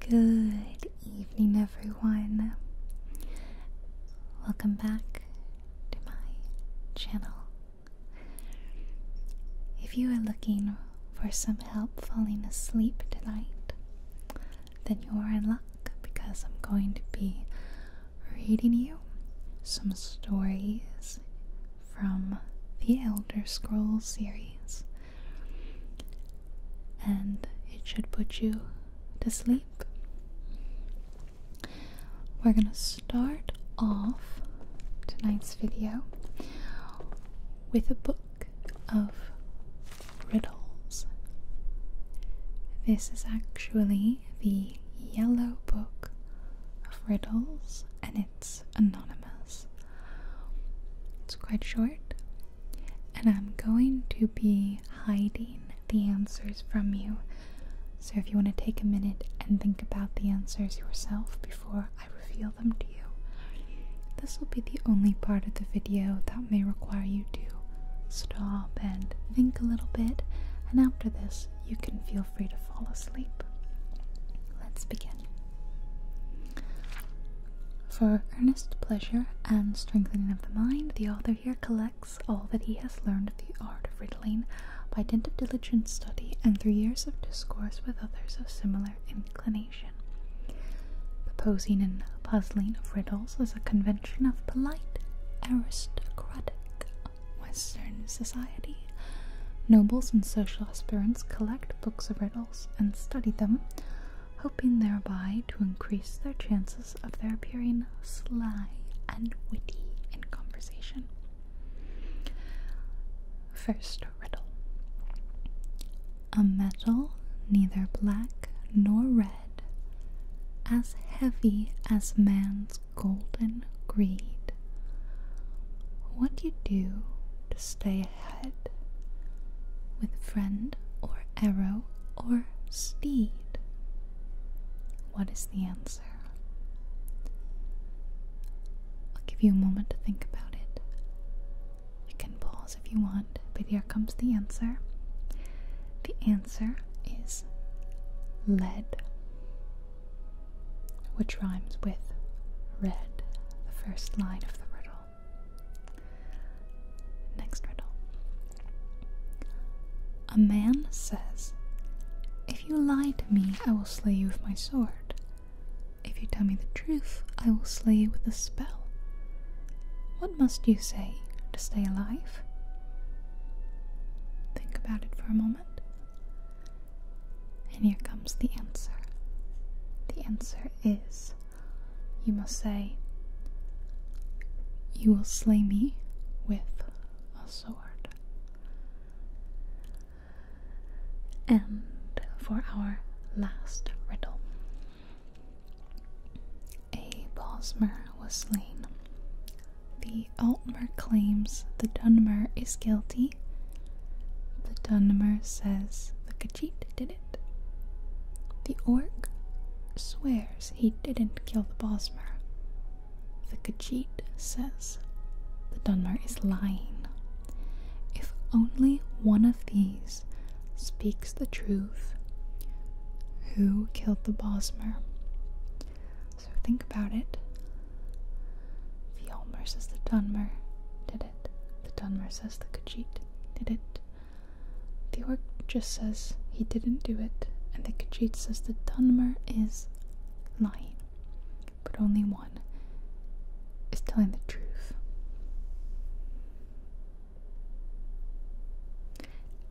Good evening, everyone. Welcome back to my channel. If you are looking for some help falling asleep tonight, then you are in luck because I'm going to be reading you some stories from the Elder Scrolls series. And it should put you to sleep. We're going to start off tonight's video with a book of riddles. This is actually the Yellow Book of Riddles, and it's anonymous. It's quite short, and I'm going to be hiding the answers from you. So if you want to take a minute and think about the answers yourself before I reveal them to you, this will be the only part of the video that may require you to stop and think a little bit, and after this, you can feel free to fall asleep. Let's begin. For earnest pleasure and strengthening of the mind, the author here collects all that he has learned of the art of riddling by dint of diligent study and through years of discourse with others of similar inclination. The posing and puzzling of riddles is a convention of polite, aristocratic Western society. Nobles and social aspirants collect books of riddles and study them, hoping thereby to increase their chances of their appearing sly and witty in conversation. First riddle A metal neither black nor red, as heavy as man's golden greed. What do you do to stay ahead? with friend or arrow or steed? What is the answer? I'll give you a moment to think about it. You can pause if you want, but here comes the answer. The answer is lead, which rhymes with red, the first line of the riddle. Next riddle. A man says, If you lie to me, I will slay you with my sword. If you tell me the truth, I will slay you with a spell. What must you say to stay alive? Think about it for a moment. And here comes the answer. The answer is you must say, You will slay me with a sword. And for our last riddle, a Bosmer was slain. The Altmer claims the Dunmer is guilty. The Dunmer says the cheat, did it? The orc swears he didn't kill the Bosmer. The Khajiit says the Dunmer is lying. If only one of these speaks the truth, who killed the Bosmer? So think about it. The Olmers is the Dunmer. Did it? The Dunmer says the Kajit did it. The orc just says he didn't do it, and the Kajit says the Dunmer is lying. But only one is telling the truth.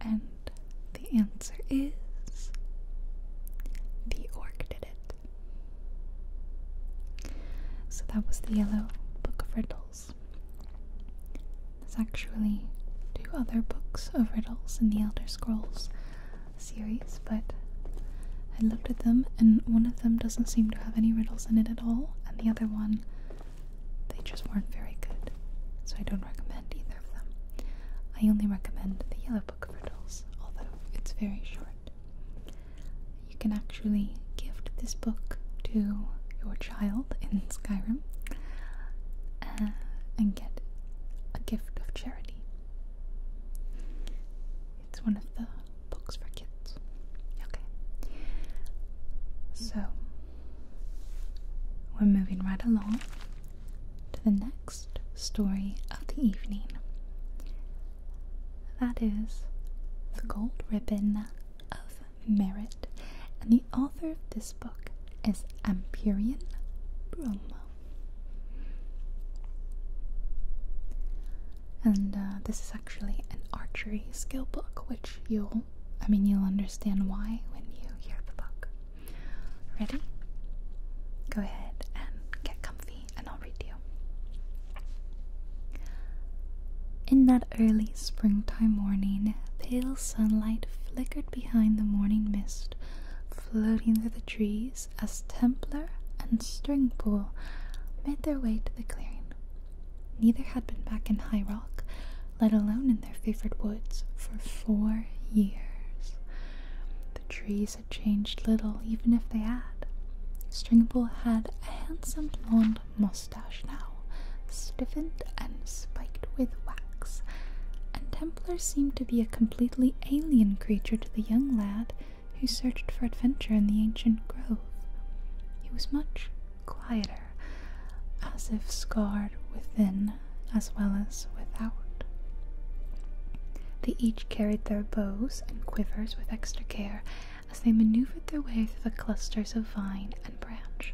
And the answer is the orc did it. So that was the Yellow Book of Riddles. There's actually two other books of riddles in the Elder Scrolls series, but I looked at them and one of them doesn't seem to have any riddles in it at all, and the other one, they just weren't very good. So I don't recommend either of them. I only recommend the Yellow Book of Riddles, although it's very short. You can actually gift this book to your child in Skyrim uh, and get a gift of charity. It's one of the books for kids. Okay. So, we're moving right along to the next story of the evening. That is the Gold Ribbon of Merit. And the author of this book is Empyrean Brum. And uh, this is actually an archery skill book, which you'll, I mean, you'll understand why when you hear the book. Ready? Go ahead and get comfy, and I'll in that early springtime morning, pale sunlight flickered behind the morning mist, floating through the trees as Templar and Stringpool made their way to the clearing. Neither had been back in High Rock, let alone in their favorite woods, for four years. The trees had changed little, even if they had. Stringpool had a handsome blond mustache now, stiffened and spiked with wax, and Templar seemed to be a completely alien creature to the young lad who searched for adventure in the ancient grove. He was much quieter, as if scarred within as well as without. They each carried their bows and quivers with extra care as they maneuvered their way through the clusters of vine and branch.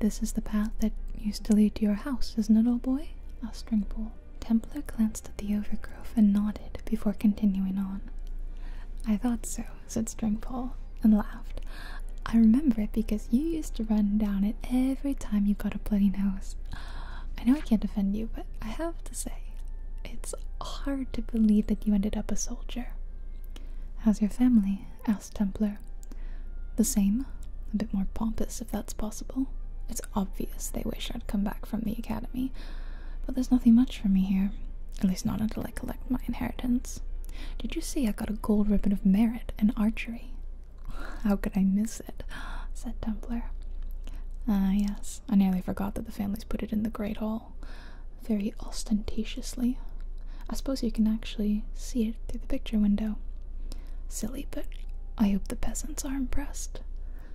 This is the path that used to lead to your house, isn't it, old boy? asked Stringpool. Templar glanced at the overgrowth and nodded before continuing on. I thought so, said Stringpole, and laughed. I remember it because you used to run down it every time you got a bloody nose. I know I can't defend you, but I have say. It's hard to believe that you ended up a soldier. How's your family? asked Templar. The same. A bit more pompous, if that's possible. It's obvious they wish I'd come back from the academy, but there's nothing much for me here. At least not until I collect my inheritance. Did you see I got a gold ribbon of merit in archery? How could I miss it? said Templar. Ah, yes. I nearly forgot that the families put it in the Great Hall very ostentatiously. I suppose you can actually see it through the picture window. Silly, but I hope the peasants are impressed.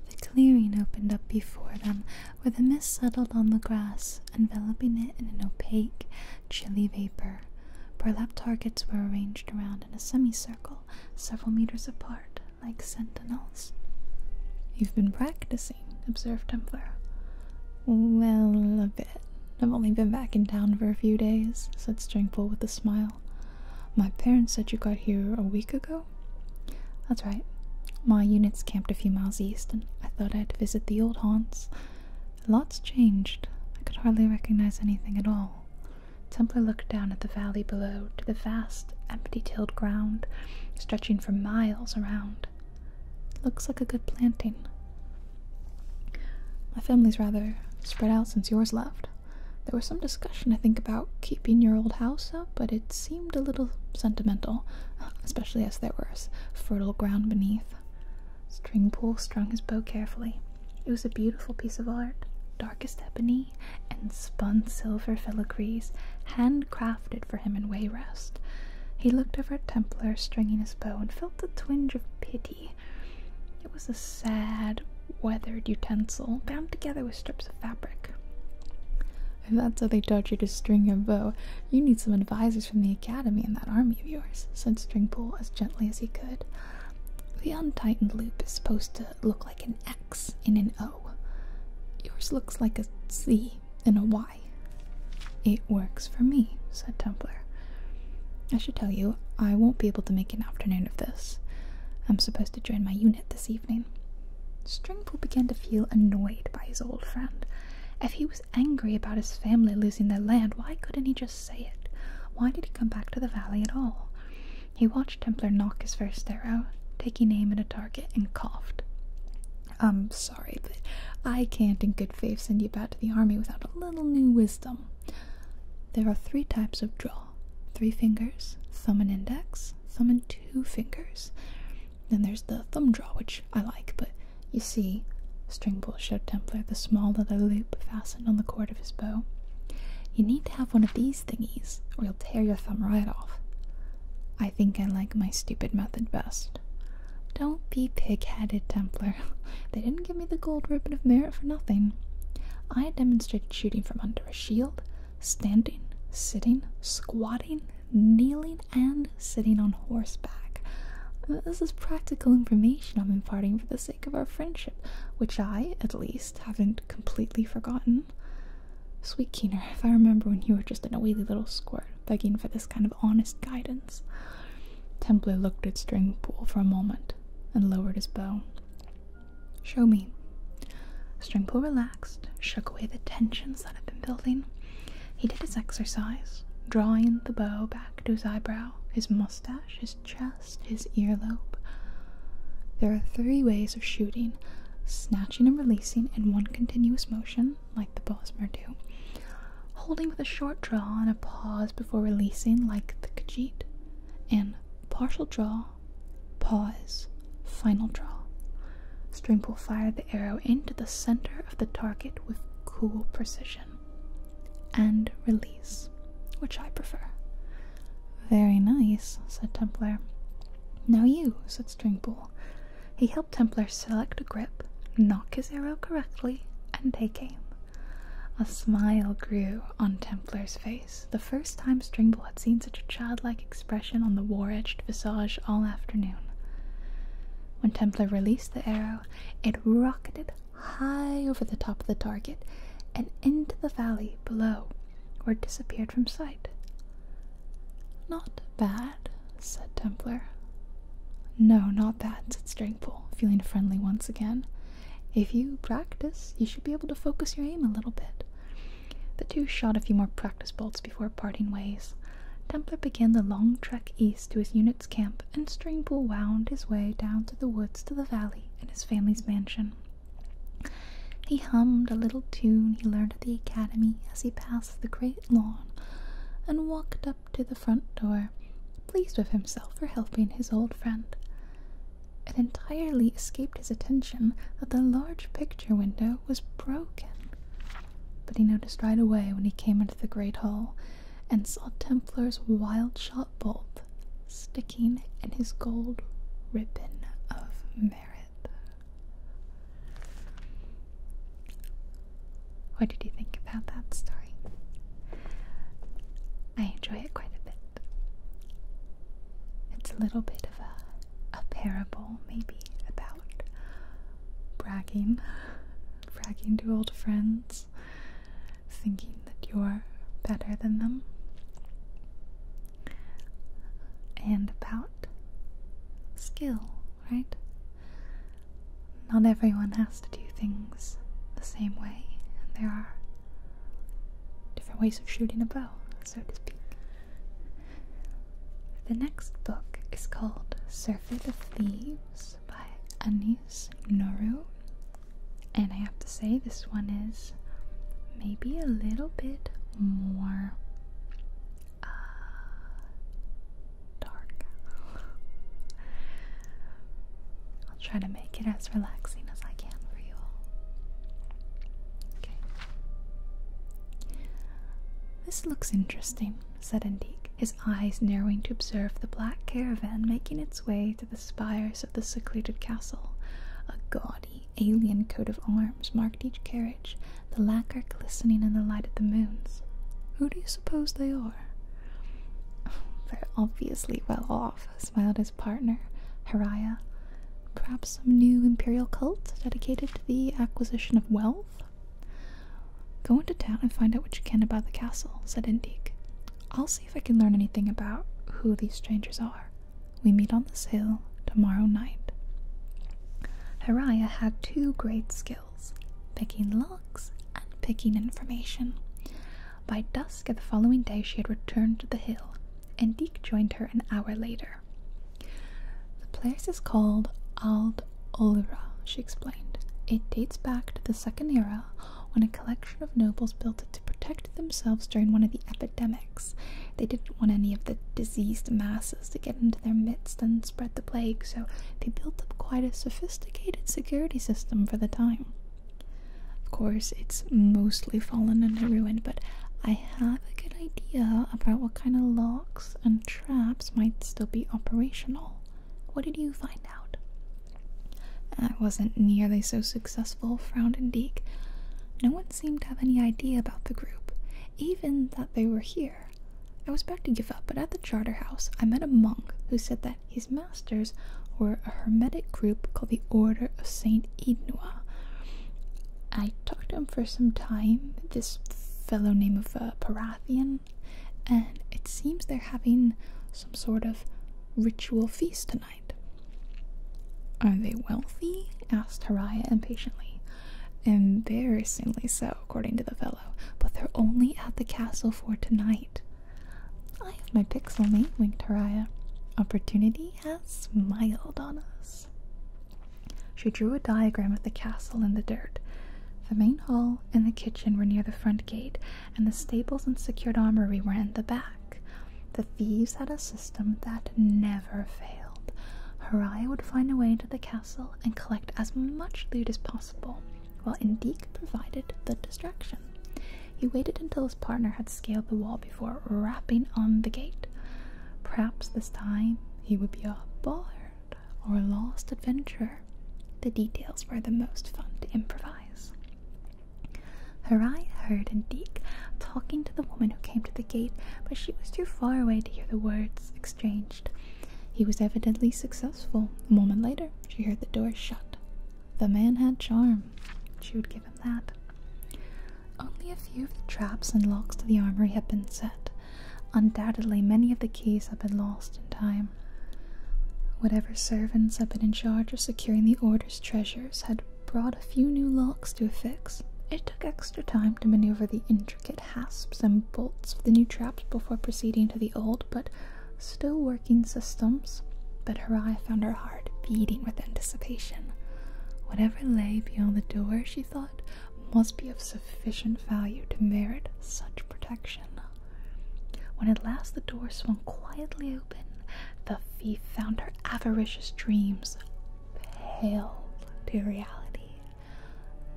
The clearing opened up before them, where the mist settled on the grass, enveloping it in an opaque, chilly vapor. Burlap targets were arranged around in a semicircle, several meters apart, like sentinels. You've been practicing observed Templar. Well, a bit. I've only been back in town for a few days, said Stringful with a smile. My parents said you got here a week ago? That's right. My unit's camped a few miles east, and I thought I'd visit the old haunts. Lots changed. I could hardly recognize anything at all. Templar looked down at the valley below to the vast, empty tilled ground stretching for miles around. Looks like a good planting. My family's rather spread out since yours left. There was some discussion, I think, about keeping your old house up, but it seemed a little sentimental, especially as there was fertile ground beneath. Stringpool strung his bow carefully. It was a beautiful piece of art, darkest ebony and spun silver filigrees, handcrafted for him in Wayrest. He looked over at Templar stringing his bow and felt a twinge of pity. It was a sad, weathered utensil bound together with strips of fabric. If that's how they taught you to string your bow, you need some advisors from the academy and that army of yours, said Stringpool as gently as he could. The untightened loop is supposed to look like an X in an O. Yours looks like a C in a Y. It works for me, said Templar. I should tell you, I won't be able to make an afternoon of this. I'm supposed to join my unit this evening. Stringpool began to feel annoyed by his old friend. If he was angry about his family losing their land, why couldn't he just say it? Why did he come back to the valley at all? He watched Templar knock his first arrow, take an aim at a target, and coughed. I'm um, sorry, but I can't in good faith send you back to the army without a little new wisdom. There are three types of draw three fingers, thumb and index, thumb and two fingers. Then there's the thumb draw, which I like, but you see, Stringbull showed Templar the small leather loop fastened on the cord of his bow. You need to have one of these thingies, or you'll tear your thumb right off. I think I like my stupid method best do Don't be pig-headed, Templar. They didn't give me the gold ribbon of merit for nothing. I demonstrated shooting from under a shield, standing, sitting, squatting, kneeling, and sitting on horseback. This is practical information I'm imparting for the sake of our friendship, which I, at least, haven't completely forgotten. Sweet Keener, if I remember when you were just an a wheelie little squirt begging for this kind of honest guidance. Templar looked at Stringpool for a moment and lowered his bow. Show me. Stringpool relaxed, shook away the tensions that had been building. He did his exercise, drawing the bow back to his eyebrow, his mustache, his chest, his earlobe. There are three ways of shooting snatching and releasing in one continuous motion, like the Bosmer do, holding with a short draw and a pause before releasing, like the Khajiit, and partial draw, pause, final draw. String will fire the arrow into the center of the target with cool precision. And release, which I prefer. Very nice, said Templar. Now you, said Stringpool. He helped help Templar select a grip, knocked his arrow correctly, and they came. A smile grew on Templar's face, the first time Stringball had seen such a childlike expression on the war-edged visage all afternoon. When Templar released the arrow, it rocketed high over the top of the target and into the valley below, where it disappeared from sight. Not bad, said Templar. No, not that, said Stringpool, feeling friendly once again. If you practice, you should be able to focus your aim a little bit. The two shot a few more practice bolts before parting ways. Templar began the long trek east to his unit's camp, and Stringpool wound his way down through the woods to the valley and his family's mansion. He hummed a little tune he learned at the academy as he passed the gray lawn and walked up to the front door, pleased with himself for helping his old friend. It entirely escaped his attention that the large picture window was broken. But he noticed right away when he came into the great hall and saw Templar's wild shot bolt sticking in his gold ribbon of merit. What did you think about that story? I enjoy it quite a bit. It's a little bit of a, a parable, maybe, about bragging, bragging to old friends, thinking that you're better than them, and about skill right? Not everyone has to do things the same way, and there are different ways of shooting a bow, so to speak. The next book is called Surfeit of Thieves by Anis Noru, and I have to say, this one is maybe a little bit more uh, dark. I'll try to make it as relaxing as I can for you Okay. This looks interesting, said Indique, his eyes narrowing to observe the black caravan making its way to the spires of the secluded castle. A gaudy alien coat of arms marked each carriage, the lacquer glistening in the light of the moons. Who do you suppose they are? They're obviously well off, smiled his partner, Haraya. Perhaps some new imperial cult dedicated to the acquisition of wealth? Go into town and find out what you can about the castle, said Indique. I'll see if I can learn anything about who these strangers are. We meet on this hill tomorrow night. Haraya had two great skills picking logs, and picking information. By dusk of the following day, she had returned to the hill, and Deke joined her an hour later. The place is called Ald Olra, she explained. It dates back to the Second Era, when a collection of nobles built it to protect themselves during one of the epidemics. They didn't want any of the diseased masses to get into their midst, and spread the plague, so they built up quite a sophisticated security system for the time. Of course, it's mostly fallen into ruin, but I have a good idea about what kind of locks and traps might still be operational. What did you find out? I wasn't nearly so successful, frowned Indeek. No one seemed to have any idea about the group, even that they were here. I was about to give up, but at the Charterhouse I met a monk who said that his masters were a hermetic group called the Order of Saint Idnua. I talked to him for some time, this fellow name of uh, Parathian, and it seems they're having some sort of ritual feast tonight. Are they wealthy? asked Haraya impatiently. Embarrassingly so, according to the fellow, but they're only at the castle for tonight. I have my pixie. mate, winked Haraya. Opportunity has smiled on us. She drew a diagram of the castle in the dirt. The main hall and the kitchen were near the front gate, and the stables and secured armory were in the back. The thieves had a system that never failed. Haraya would find a way into the castle and collect as much loot as possible while Indique provided the distraction. He waited until his partner had scaled the wall before rapping on the gate. Perhaps this time he would be a bard or a lost adventurer. The details were the most fun to improvise. Harai heard Indique talking to the woman who came to the gate, but she was too far away to hear the words Changed, He was evidently successful. A moment later, she heard the door shut. The man had charm. She would give him that. Only a few of the traps and locks to the armory had been set. Undoubtedly, many of the keys had been lost in time. Whatever servants had been in charge of securing the Order's treasures had brought a few new locks to affix. It took extra time to maneuver the intricate intricate hasps and bolts of the new traps before proceeding to the old but still working systems, but her eye found her heart beating with anticipation. Whatever lay beyond the door, she thought, must be of sufficient value to merit such protection. When at last the door swung quietly open, the thief found her avaricious dreams pale to reality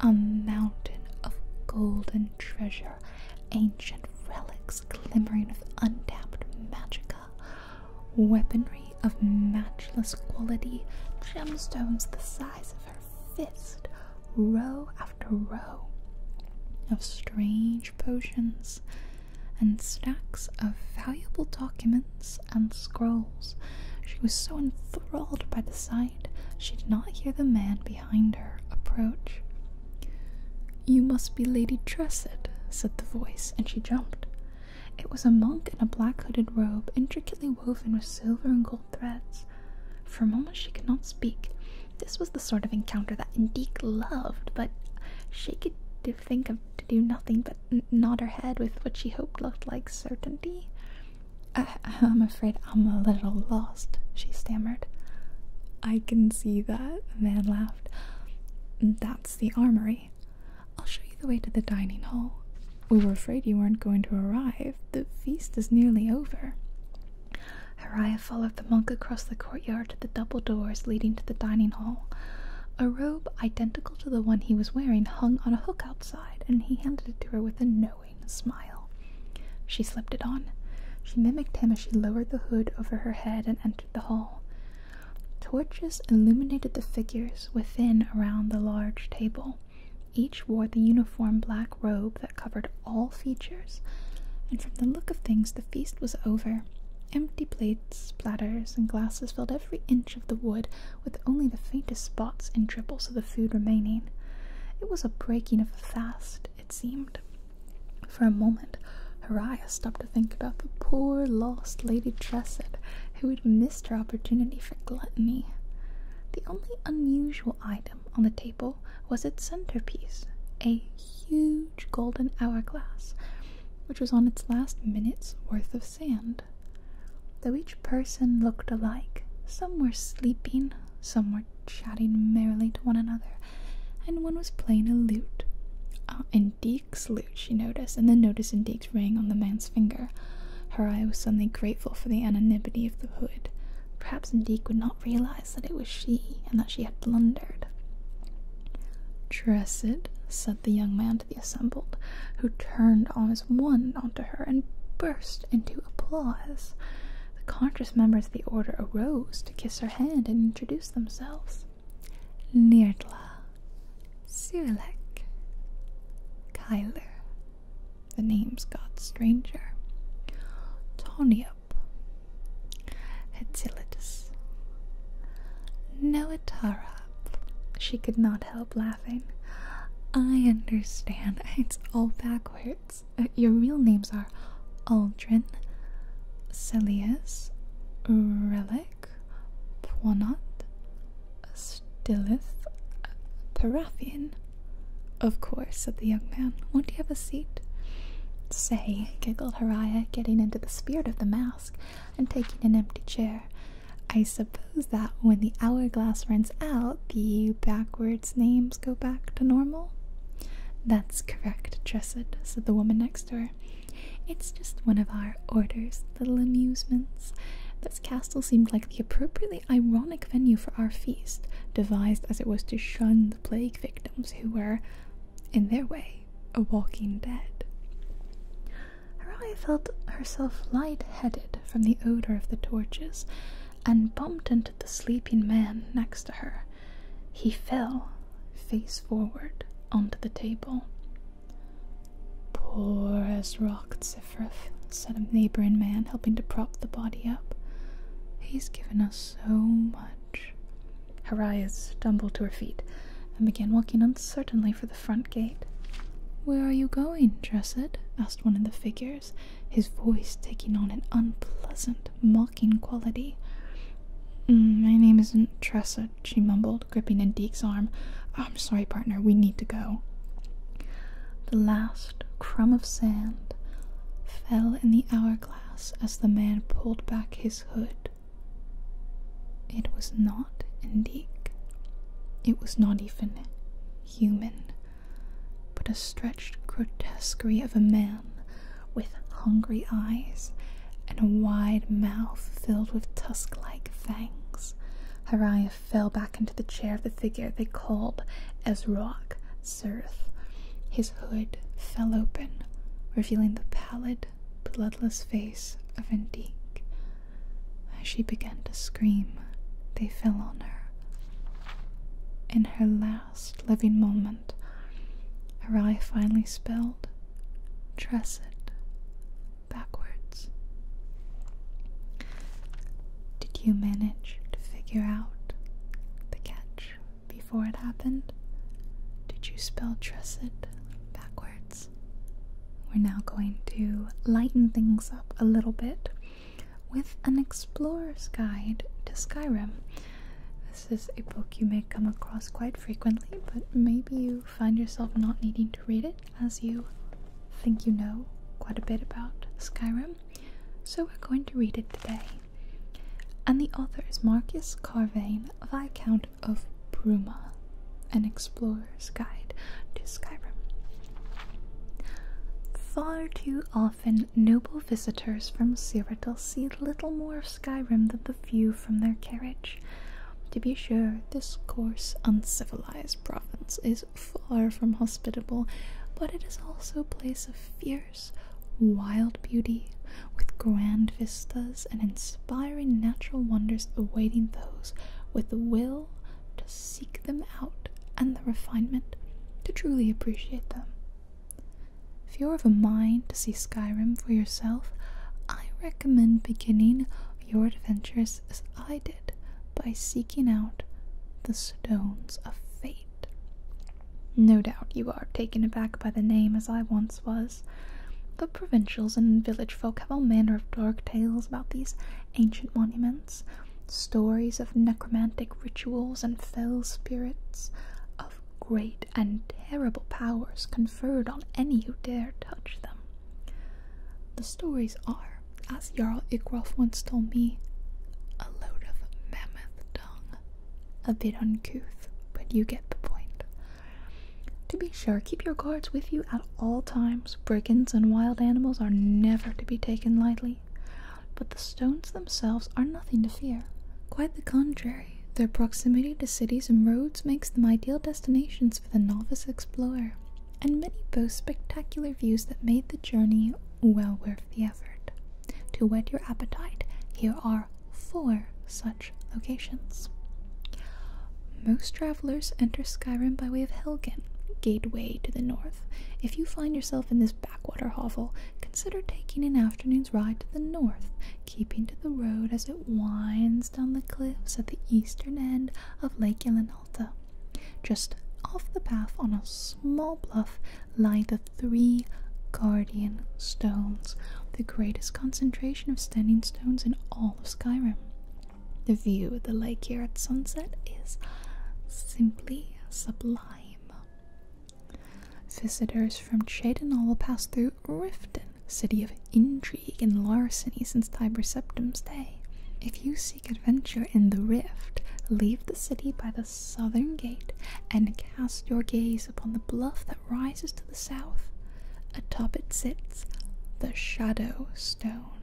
a mountain of golden treasure, ancient relics glimmering with untapped magica, weaponry of matchless quality, gemstones the size of her fist, row after row of strange potions, and stacks of valuable documents and scrolls. She was so enthralled by the sight, she did not hear the man behind Kinder approach. You must be Lady Tressid, said the voice, and she jumped. It was a monk in a black hooded robe, intricately woven with silver and gold threads. For a moment she could not speak. This was the sort of encounter that Indique loved, but she could think of doing nothing but nod her head with what she hoped looked like certainty. I, I'm afraid I'm a little lost, she stammered. I can see that, the man laughed. That's the armory. I'll show you the way to the dining hall. We were afraid you weren't going to arrive. The feast is nearly over. Haraya followed the monk across the courtyard to the double doors leading to the dining hall. A robe identical to the one he was wearing hung on a hook outside, and he handed it to her with a note knowing smile. She slipped it on. She mimicked him as she lowered the hood over her head and entered the hall. Torches illuminated the figures within around the large table. Each wore the uniform black robe that covered all features, and from the look of things, the feast was over. Empty plates, platters, and glasses filled every inch of the wood, with only the faintest spots and dribbles of the food remaining. It was a breaking of the fast, it seemed. For a moment, Haraya stopped to think about the poor, lost Lady Tressid, who had missed her opportunity for gluttony. The only unusual item on the table was its centerpiece, a huge golden hourglass, which was on its last minute's worth of sand. Though each person looked alike, some were sleeping, some were were chatting merrily to one another, and one was playing a lute. Uh, Indique's lute, she noticed, and the noticed Indique's ring on the man's finger. Her eye was suddenly grateful for the anonymity of the hood. Perhaps Indique would not realize that it was she, and that she had blundered. Dressed, said the young man to the assembled, who turned on his one to her and burst into applause. The conscious members of the order arose to kiss her hand and introduce themselves. Nirdla, Cyrilek, Kyler. The names got stranger. Toniop, Hetzilitis, Noatarab. She could not help laughing. I understand. It's all backwards. Uh, your real names are Aldrin, Celius, Relic, Poinot, Stilith, Paraphian. Of course, said the young man. Won't you have a seat? Say, giggled Haraya, getting into the spirit of the mask and taking an empty chair. I suppose that when the hourglass runs out, the backwards names go back to normal? That's correct, Dressid, said the woman next to her. It's just one of our orders, little amusements. This castle seemed like the appropriately ironic venue for our feast, devised as it was to shun the plague victims who were, in their way, a walking dead. Horia felt herself light-headed from the odor of the torches, and bumped into the sleeping man next to her. He fell, face forward, onto the table. Poor as rocked said a neighbouring man, helping to prop the body up. He's given us so much. Haraya stumbled to her feet and began walking uncertainly for the front gate. Where are you going, Dressid? asked one of the figures his voice taking on an unpleasant, mocking quality. Mm, my name isn't Tressa, she mumbled, gripping Indique's arm. I'm sorry, partner, we need to go. The last crumb of sand fell in the hourglass as the man pulled back his hood. It was not Indique. It was not even human but a stretched grotesquery of a man with hungry eyes and a wide mouth filled with tusk like fangs. Hariah fell back into the chair of the figure they called Ezrock Sirth. His hood fell open, revealing the pallid, bloodless face of Indique. As she began to scream, they fell on her. In her last living moment hand. finally spelled Tresset backwards. Did you manage to figure out the catch before it happened? Did you spell Tresset backwards? We're now going to lighten things up a little bit with an explorer's guide to Skyrim. This is a book you may come across quite frequently, but maybe you find yourself not needing to read it as you think you know quite a bit about Skyrim. So we're going to read it today. And the author is Marcus Carvain, Viscount of Bruma, an explorer's guide to Skyrim. Far too often, noble visitors from Cyrodiil see little more of Skyrim than the view from their carriage. To be sure, this coarse, uncivilized province is far from hospitable, but it is also a place of fierce, wild beauty, with grand vistas and inspiring natural wonders awaiting those with the will to seek them out and the refinement to truly appreciate them. If you're of a mind to see Skyrim for yourself, I recommend beginning your adventures as I did by seeking out the Stones of Fate. No doubt you are taken aback by the name as I once was. The provincials and village folk have all manner of dark tales about these ancient monuments, stories of necromantic rituals and fell spirits, great and terrible powers conferred on any who dare touch them. The stories are, as Jarl Igrolf once told me, a load of mammoth dung. A bit uncouth, but you get the point. To be sure, keep your guards with you at all times. Brigands and wild animals are never to be taken lightly but the stones themselves are nothing to fear. Quite the contrary, their proximity to cities and roads makes them ideal destinations for the novice explorer, and many boast spectacular views that made the journey well worth the effort. To whet your appetite, here are four such locations. Most travelers enter Skyrim by way of Helgen, gateway to the north. If you find yourself in this backwater hovel, consider taking an afternoon's ride to the north, keeping to the road as it winds down the cliffs at the eastern end of Lake Elenalta. Just off the path on a small bluff lie the three guardian stones, the greatest concentration of standing stones in all of Skyrim. The view of the lake here at sunset is simply sublime. Visitors from Chaidenal will pass through Riften, city of intrigue and larceny since Tiber Septim's day. If you seek adventure in the Rift, leave the city by the southern gate and cast your gaze upon the bluff that rises to the south. Atop it sits the Shadow Stone,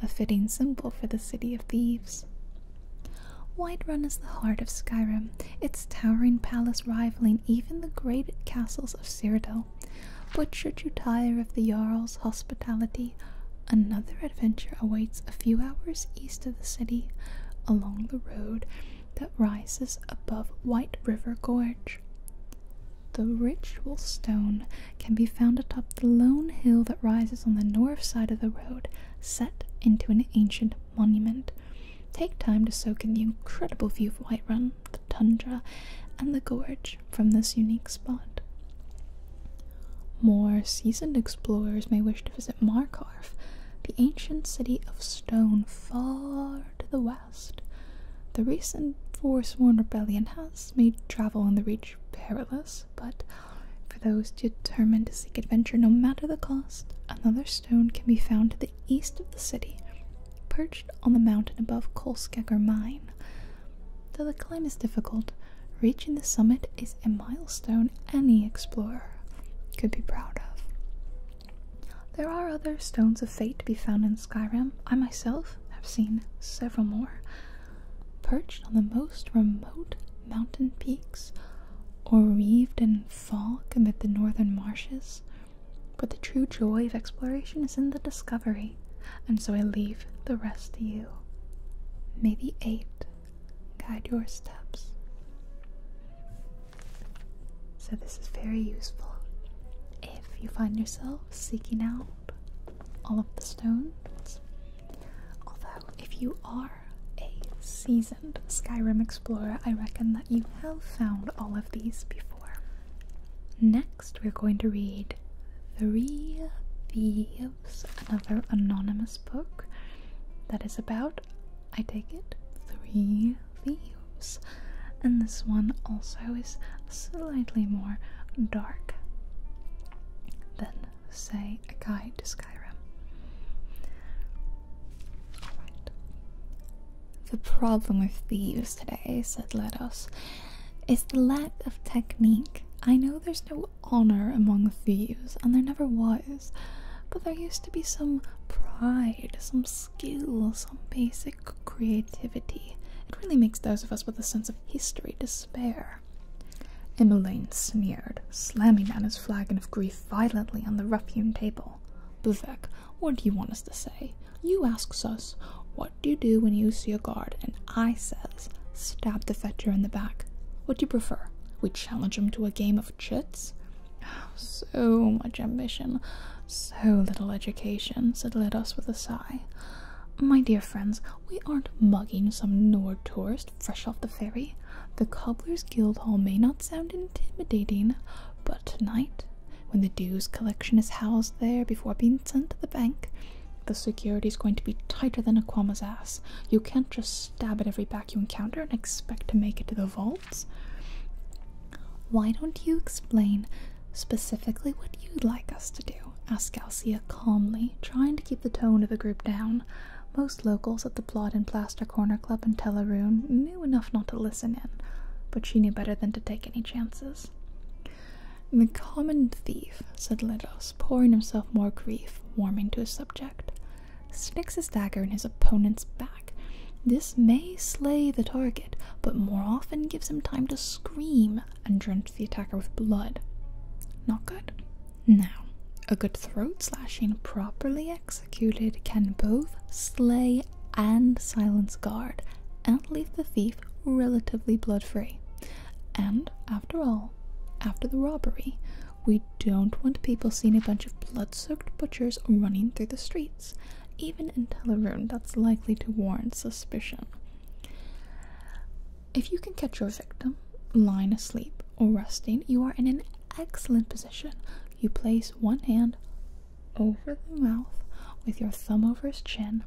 a fitting symbol for the city of thieves. White Run is the heart of Skyrim, its towering palace rivaling even the great castles of Cyrodiil. But should you tire of the Jarl's hospitality, another adventure awaits a few hours east of the city along the road that rises above White River Gorge. The ritual stone can be found atop the lone hill that rises on the north side of the road, set into an ancient monument, take time to soak in the incredible view of Whiterun, the tundra, and the gorge from this unique spot. More seasoned explorers may wish to visit Markarth, the ancient city of stone far to the west. The recent Forsworn Rebellion has made travel in the region perilous, but for those determined to seek adventure no matter the cost, another stone can be found to the east of the city, perched on the mountain above Kolskegger Mine. Though the climb is difficult, reaching the summit is a milestone any explorer could be proud of. There are other stones of fate to be found in Skyrim. I myself have seen several more. Perched on the most remote mountain peaks, or reeved in Falk amid the northern marshes, but the true joy of exploration is in the discovery, and so I leave the rest to you. May the eight guide your steps. So, this is very useful if you find yourself seeking out all of the stones. Although, if you are are a seasoned Skyrim explorer, I reckon that you have found all of these before. Next, we're going to read Three Leaves, another anonymous book that is about, I take it, three Leaves, And this one also is slightly more dark than, say, A Guide to Skyrim. The problem with thieves today, said Letos, is the lack of technique. I know there's no honor among thieves, and there never was, but there used to be some pride, some skill, some basic creativity. It really makes those of us with a sense of history despair. Emmeline sneered, slamming Anna's flagon of grief violently on the rough-hewn table. Buvek, what do you want us to say? You asks us, what do you do when you see a guard? And I says, stab the fetcher in the back. What do you prefer? We challenge him to a game of chits? So much ambition, so little education, said Ledos with a sigh. My dear friends, we aren't mugging some Nord tourist fresh off the ferry. The cobbler's guild hall may not sound intimidating, but tonight, when the dues collection is housed there before being sent to the bank, the security is going to be tighter than a Aquama's ass. You can't just stab at every back you encounter and expect to make it to the vaults. Why don't you explain specifically what you'd like us to do? asked Alcia calmly, trying to keep the tone of the group down. Most locals at the Blot and Plaster Corner Club in Teleroon knew enough not to listen in, but she knew better than to take any chances. The common thief, said Lidos, pouring himself more grief, warming to his subject, sticks his dagger in his opponent's back. This may slay the target, but more often gives him time to scream and drench the attacker with blood. Not good. Now, a good throat slashing properly executed can both slay and silence guard and leave the thief relatively blood free. And after all, after the robbery, we don't want people seeing a bunch of blood-soaked butchers running through the streets, even in Teleroon that's likely to warrant suspicion. If you can catch your victim lying asleep or resting, you are in an excellent position. You place one hand over the mouth with your thumb over his chin.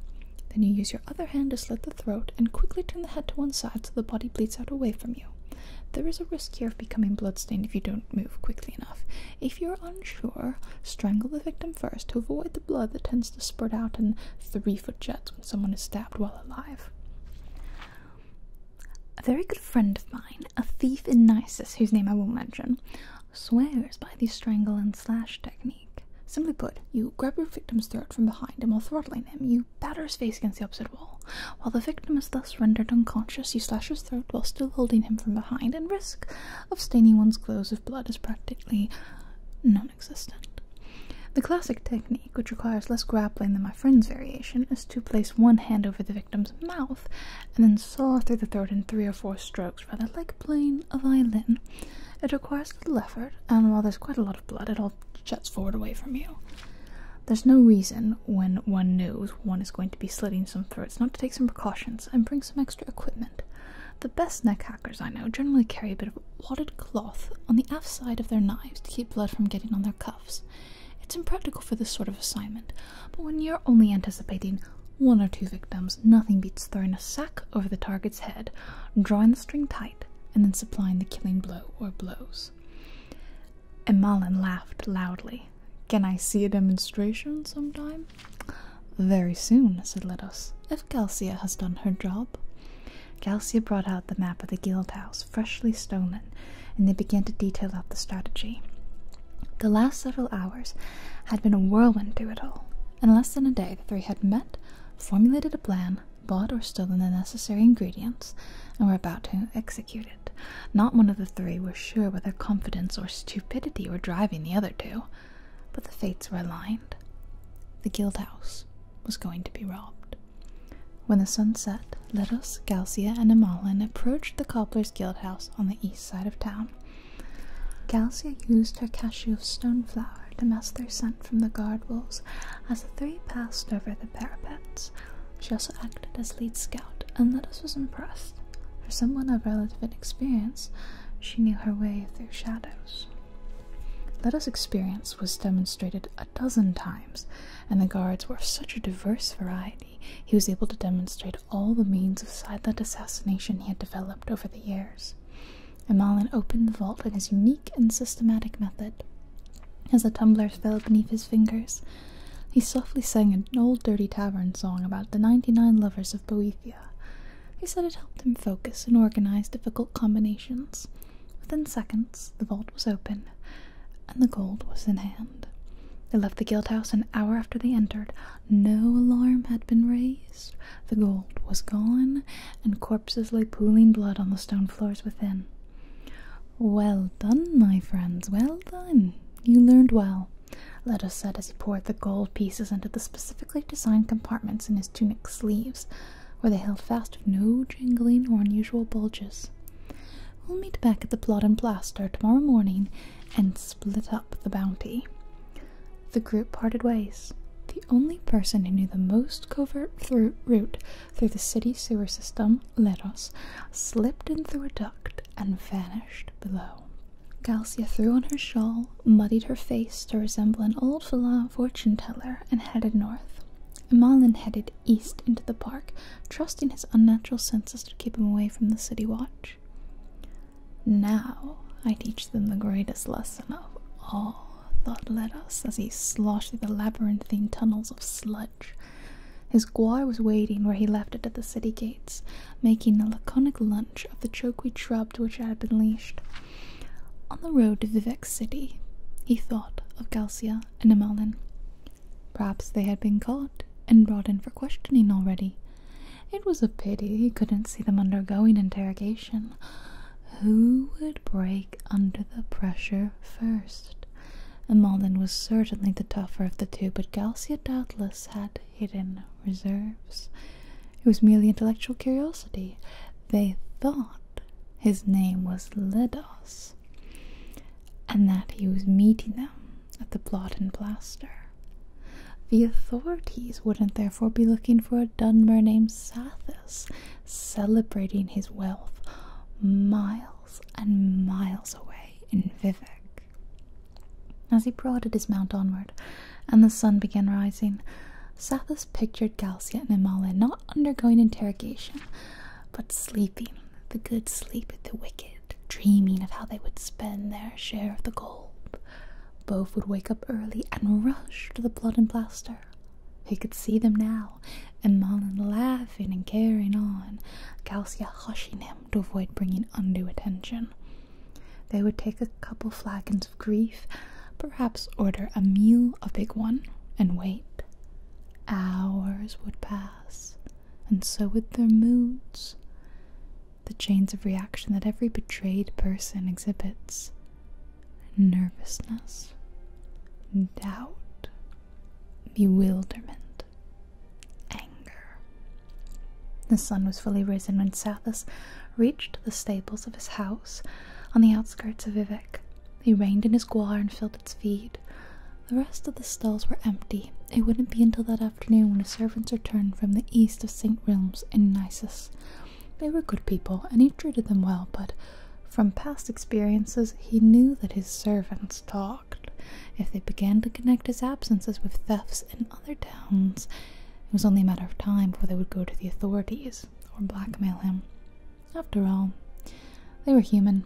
Then you use your other hand to slit the throat and quickly turn the head to one side so the body bleeds out away from you. There is a risk here of becoming bloodstained if you don't move quickly enough. If you're unsure, strangle the victim first to avoid the blood that tends to spurt out in three foot jets when someone is stabbed while alive. A very good friend of mine, a thief in Nisus, whose name I won't mention, swears by the strangle and slash technique. Simply put, you grab your victim's throat from behind and while throttling him, you batter his face against the opposite wall. While the victim is thus rendered unconscious, you slash his throat while still holding him from behind, and risk of staining one's clothes with blood is practically non existent. The classic technique, which requires less grappling than my friend's variation, is to place one hand over the victim's mouth and then saw through the throat in three or four strokes, rather like playing a violin. It requires little effort, and while there's quite a lot of blood, it all jets forward away from you. There's no reason, when one knows one is going to be slitting some throats, not to take some precautions and bring some extra equipment. The best neck hackers I know generally carry a bit of wadded cloth on the aft side of their knives to keep blood from getting on their cuffs. It's impractical for this sort of assignment, but when you're only anticipating one or two victims, nothing beats throwing a sack over the target's head, drawing the string tight, and then supplying the killing blow or blows. Emalin laughed loudly. Can I see a demonstration sometime? Very soon, said Letos, if Galcia has done her job. Galcia brought out the map of the guild house, freshly stolen, and they began to detail out the strategy. The last several hours had been a whirlwind through it all. In less than a day, the three had met, formulated a plan, bought or stolen the necessary ingredients, and were about to execute it. Not one of the three was sure whether confidence or stupidity were driving the other two, but the fates were aligned. The guild house was going to be robbed. When the sun set, Letos, Galcia, and Amalin approached the cobbler's guild house on the east side of town. Galcia used her cashew of stoneflower to mask their scent from the guard walls. as the three passed over the parapets. She also acted as lead scout, and Letos was impressed. For someone of relative inexperience, she knew her way through shadows. Letos' experience was demonstrated a dozen times, and the guards were of such a diverse variety he was able to demonstrate all the means of silent assassination he had developed over the years. Imalan opened the vault in his unique and systematic method. As the tumblers fell beneath his fingers, he softly sang an old dirty tavern song about the ninety nine lovers of Boethia. He said it helped him focus and organize difficult combinations. Within seconds, the vault was open, and the gold was in hand. They left the guild house an hour after they entered. No alarm had been raised. The gold was gone, and corpses lay pooling blood on the stone floors within. Well done, my friends, well done. You learned well, Leto said as he poured the gold pieces into the specifically designed compartments in his tunic sleeves, where they held fast with no jingling or unusual bulges. We'll meet back at the Plot and Plaster tomorrow morning and split up the bounty. The group parted ways. The only person who knew the most covert route through the city sewer system, Leros, slipped in through a duct and vanished below. Galcia threw on her shawl, muddied her face to resemble an old Fala fortune teller, and headed north. Malin headed east into the park, trusting his unnatural senses to keep him away from the city watch. Now I teach them the greatest lesson of all, thought Letos as he sloshed through the labyrinthine tunnels of sludge. His guar was waiting where he left it at the city gates, making a laconic lunch of the chokeweed shrub to which I had been leashed. On the road to Vivek City, he thought of Galcia and Imalin. Perhaps they had been caught and brought in for questioning already. It was a pity he couldn't see them undergoing interrogation. Who would break under the pressure first? Malden was certainly the tougher of the two, but Galsia doubtless had hidden reserves. It was merely intellectual curiosity. They thought his name was Ledos and that he was meeting them at the Blot and Plaster. The authorities wouldn't therefore be looking for a Dunmer named Sathis, celebrating his wealth miles and miles away in Vivek. As he prodded his mount onward, and the sun began rising, Sathis pictured Galcia and Imale not undergoing interrogation, but sleeping the good sleep with the wicked, dreaming of how they would spend their share of the gold. Both would wake up early and rush to the blood and plaster. He could see them now, and Marlin laughing and carrying on, Calcia hushing him to avoid bringing undue attention. They would take a couple flagons of grief, perhaps order a meal, a big one, and wait. Hours would pass and so with their moods. The chains of reaction that every betrayed person exhibits nervousness, doubt, bewilderment, anger. The sun was fully risen when Sathis reached the stables of his house on the outskirts of Vivek. He reined in his guar and filled its feed, the rest of the stalls were empty. It wouldn't be until that afternoon when the servants returned from the east of St. Realms in Nisus. They were good people, and he treated them well, but from past experiences, he knew that his servants talked. If they began to connect his absences with thefts in other towns, it was only a matter of time before they would go to the authorities or blackmail him. After all, they were human.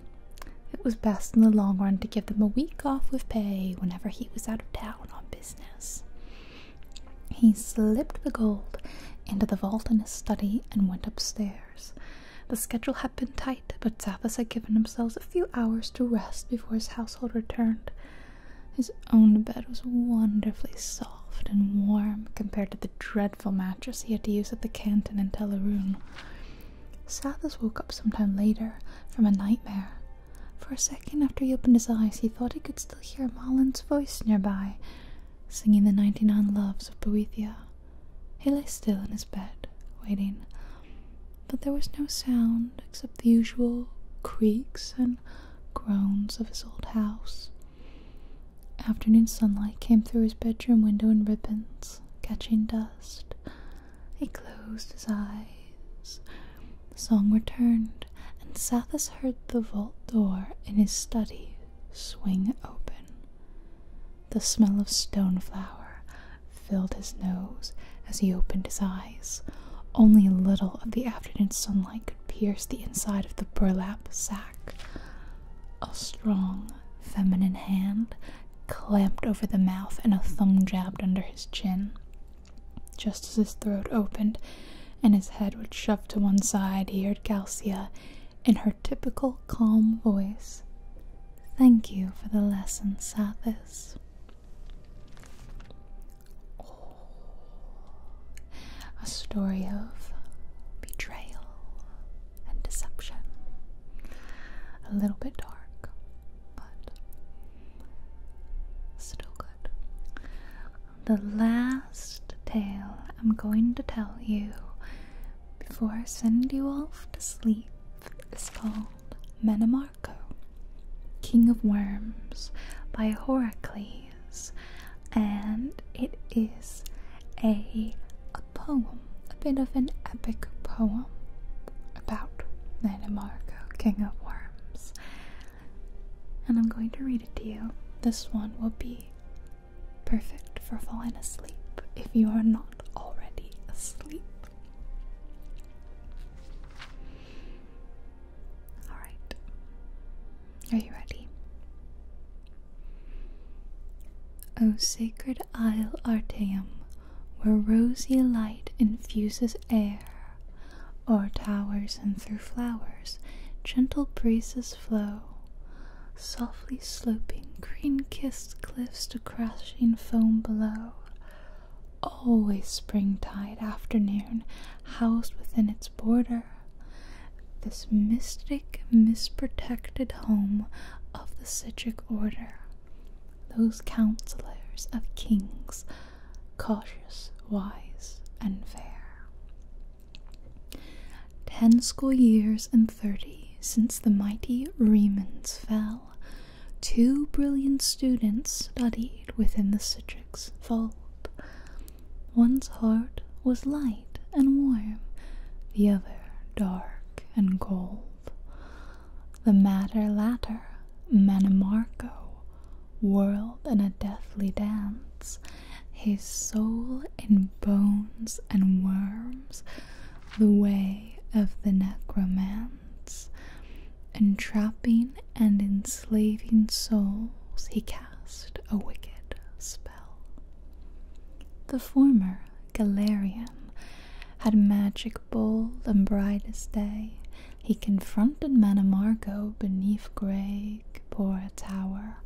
It was best in the long run to give them a week off with pay whenever he he was out of town on business. He slipped the gold into the vault in his study and went upstairs. The schedule had been tight, but Zathis had given himself a few hours to rest before his household returned. His own bed was wonderfully soft and warm compared to the dreadful mattress he had to use at the canton in Teleroon. Sathis woke up sometime later from a nightmare for a second after he opened his eyes, he thought he could still hear Malin's voice nearby, singing the ninety nine loves of Boethia. He lay still in his bed, waiting, but there was no sound except the usual creaks and groans of his old house. Afternoon sunlight came through his bedroom window in ribbons, catching dust. He closed his eyes. The song returned, and Sathis heard the vault door in his study swing open. The smell of stone stoneflower filled his nose as he opened his eyes. Only a little of the afternoon sunlight could pierce the inside of the burlap sack. A strong, feminine hand clamped over the mouth and a thumb jabbed under his chin. Just as his throat opened and his head would shove to one side, he heard Galcia in her typical calm voice. Thank you for the lesson, Sathis. a story of betrayal and deception. A little bit dark, but Still good. The last tale I'm going to tell you before I send you off to sleep is called Menemarco, King of Worms by Horacles, and it is a, a poem, a bit of an epic poem about Nanamarco, King of Worms. And I'm going to read it to you. This one will be perfect for falling asleep if you are not already asleep. Alright. Are you ready? O sacred isle Arteum, where rosy light infuses air, o'er towers and through flowers gentle breezes flow, softly sloping green-kissed cliffs to crashing foam below. Always springtide afternoon housed within its border, this mystic, misprotected home of the citric order. Those counselors of kings cautious, wise, and fair. Ten school years and thirty since the mighty Remans fell, two brilliant students studied within the Citrix fold. One's heart was light and warm, the other dark and cold. The madder latter, Manimarco, whirled in a deathly dance, his soul in bones and worms, the way of the necromance. Entrapping and enslaving souls, he cast a wicked spell. The former, Galerian, had magic bold and bright as day. He confronted Manamargo beneath grey Gipora tower,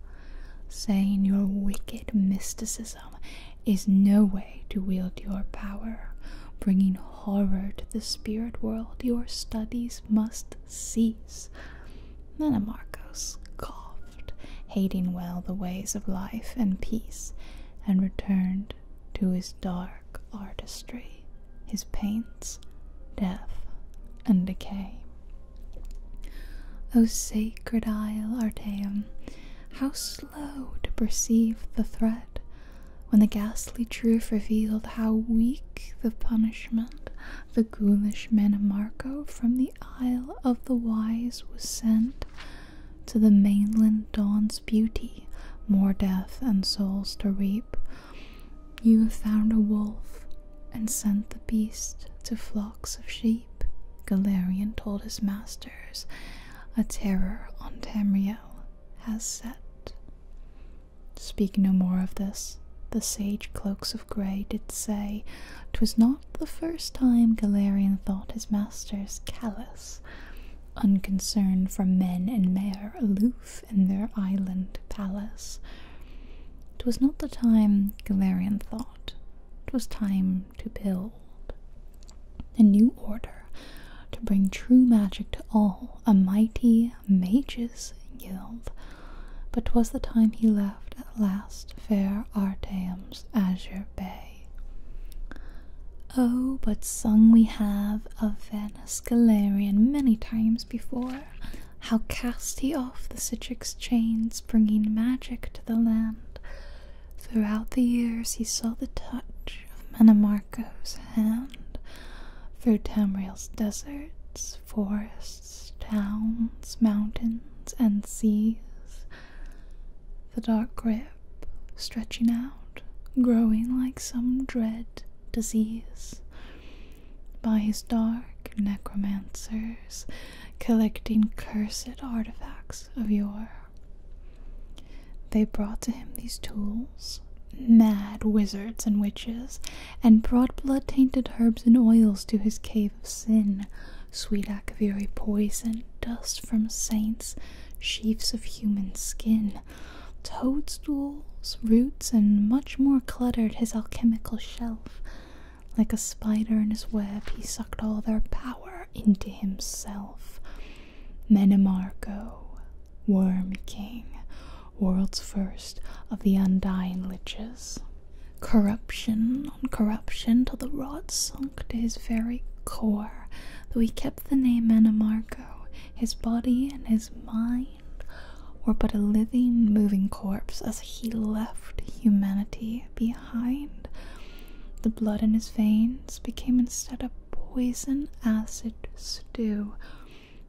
saying, Your wicked mysticism is no way to wield your power, bringing horror to the spirit world. Your studies must cease. Manamargo scoffed, hating well the ways of life and peace, and returned to his dark artistry his pains, death, and decay. O sacred isle Arteum, how slow to perceive the threat, when the ghastly truth revealed how weak the punishment the ghoulish Menemarco from the Isle of the Wise was sent to the mainland dawn's beauty, more death and souls to reap you have found a wolf and sent the beast to flocks of sheep. Galerian told his masters, A terror on Tamriel has set. Speak no more of this, the sage cloaks of grey did say. 'Twas not the first time Galerian thought his masters callous. Unconcerned for men and mare aloof in their island palace. 'Twas not the time Galerian thought, 'twas time to build a new order, to bring true magic to all, a mighty mages guild. But 'twas the time he left at last fair Arteum's azure bay. Oh, but sung we have of fair Awareness Galarian many times before, how cast he off the Citrix chains, bringing magic to the land. Throughout the years he saw the touch of Menamarco's hand, through Tamriel's deserts, forests, towns, mountains, and seas. The dark grip, stretching out, growing like some dread disease by his dark necromancers collecting cursed artifacts of yore. They brought to him these tools, mad wizards and witches, and brought blood tainted herbs and oils to his cave of sin, sweet akaviri poison, dust from saints, sheaves of human skin, toadstools, roots, and much more cluttered his alchemical shelf. Like a spider in his web, he sucked all their power into himself. Menemargo, Worm King, world's first of the undying liches. Corruption on corruption till the rot sunk to his very core, though kept kept the name Anamarco, his body and his mind were but a living, moving corpse as he left humanity behind. The blood in his veins became instead a poison acid stew.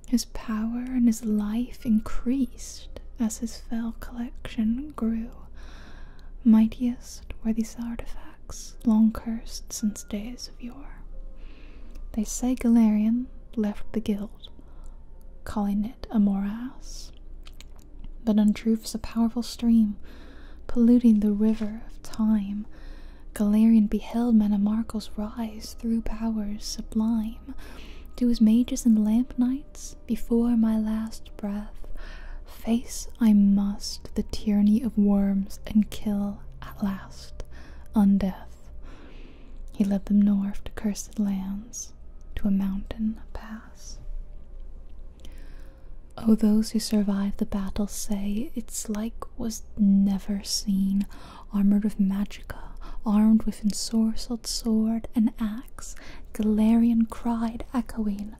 His power and his life increased as his fell collection grew. Mightiest were these artifacts, long cursed since days days of yore. They say Galerian left the guild, calling it a morass. But untruth's a powerful stream, polluting the river of time. Galerian beheld Menamarkos rise through powers sublime. To his mages and lamp knights, before my last breath, face I must the tyranny of worms and kill at last undeath. He led them north to cursed lands, to a mountain pass. Oh, those who survived the battle say its like was never seen, armored with magica, armed with ensorcelled sword and axe, Galerian cried, echoing,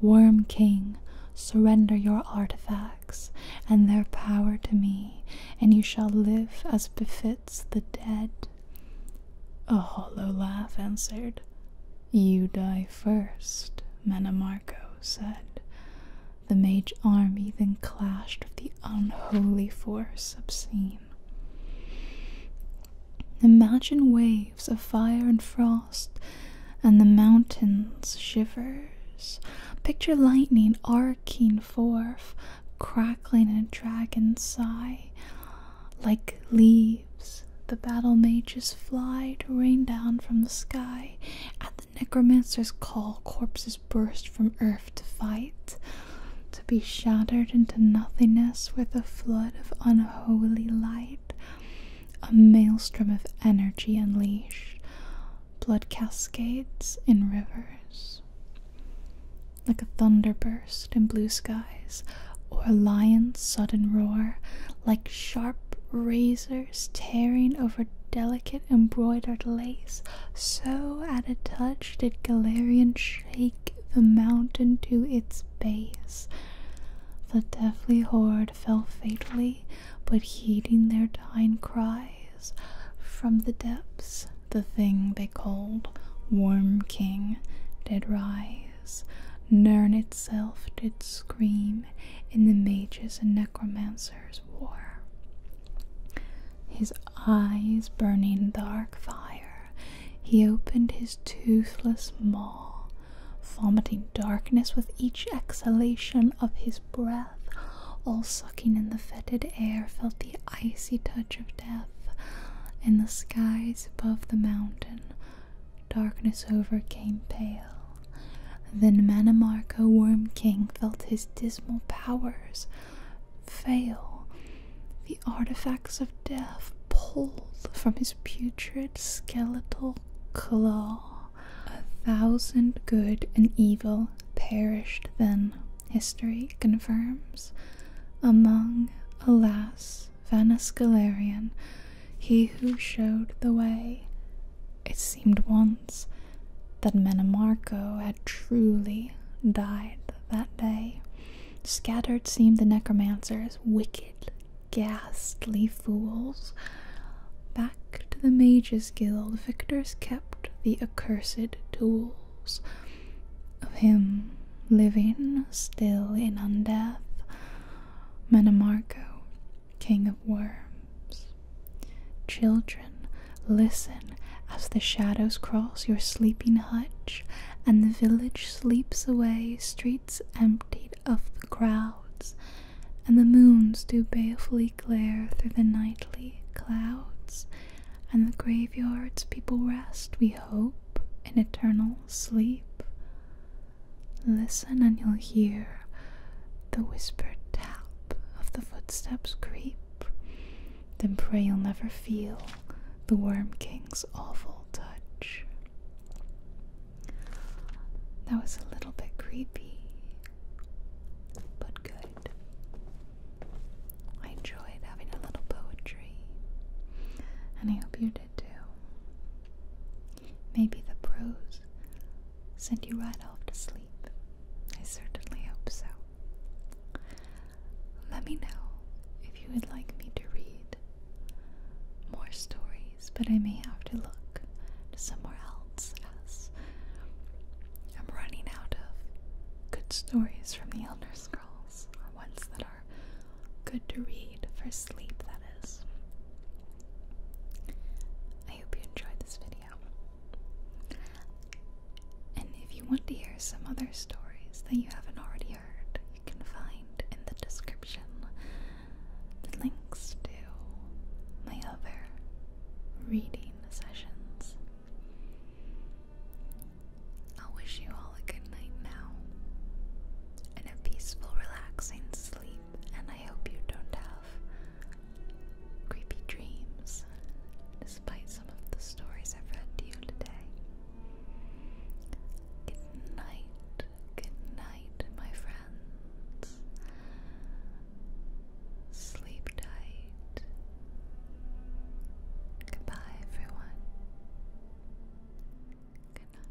Worm King, surrender your artifact and their power to me, and you shall live as befits the dead. A hollow laugh answered. You die first, Menamarco said. The mage army then clashed with the unholy force obscene. Imagine waves of fire and frost, and the mountains shivers. Picture lightning arcing forth, crackling in a dragon's sigh. Like leaves, the battle mages fly to rain down from the sky. At the necromancer's call, corpses burst from earth to fight, to be shattered into nothingness with a flood of unholy light. A maelstrom of energy unleashed, blood cascades in rivers. Like a thunder burst in blue skies, or a lion's sudden roar, like sharp razors tearing over delicate embroidered lace, so at a touch did Galerian shake the mountain to its base. The deathly horde fell fatally, but heeding their dying cries from the depths the thing they called warm king did rise nern itself did scream in the mages and necromancers war his eyes burning dark fire he opened his toothless maw vomiting darkness with each exhalation of his breath all sucking in the fetid air felt the icy touch of death. In the skies above the mountain, darkness overcame pale. Then Manamarco Worm King felt his dismal powers fail. The artifacts of death pulled from his putrid skeletal claw. A thousand good and evil perished then history confirms, among, alas, Vanus Galerian, he who showed the way. It seemed once that Menemarco had truly died that day. Scattered seemed the necromancers, wicked, ghastly fools. Back to the Mages Guild, victors kept the Cursed tools of him living still in undeath, Menamarco, king of worms. Children, listen as the shadows cross your sleeping hutch, and the village sleeps away, streets emptied of the crowds, and the moons do balefully glare through the nightly clouds, and the graveyards people rest, we hope, in eternal sleep. Listen, and you'll hear the whispered tap of the footsteps creep. Then pray you'll never feel the Worm King's awful touch. That was a little bit creepy, but good. I enjoyed having a little poetry, and I hope you did too. Maybe the prose sent you right off to sleep. I certainly hope so. Let me know if you would like me to read more stories, but I may have to look somewhere else as I'm running out of Good stories from the Elder Scrolls are ones that are good to read for sleep, that is. I hope you enjoyed this video. And if you want to hear some other stories that you haven't already heard, you can find in the description the links to my other reading sessions i wish you all a good night now and a peaceful, relaxing sleep. And I hope you don't have creepy dreams, despite some of the stories I've read to you today. Good night, good night, my friends. Sleep tight. Goodbye, everyone. Good night.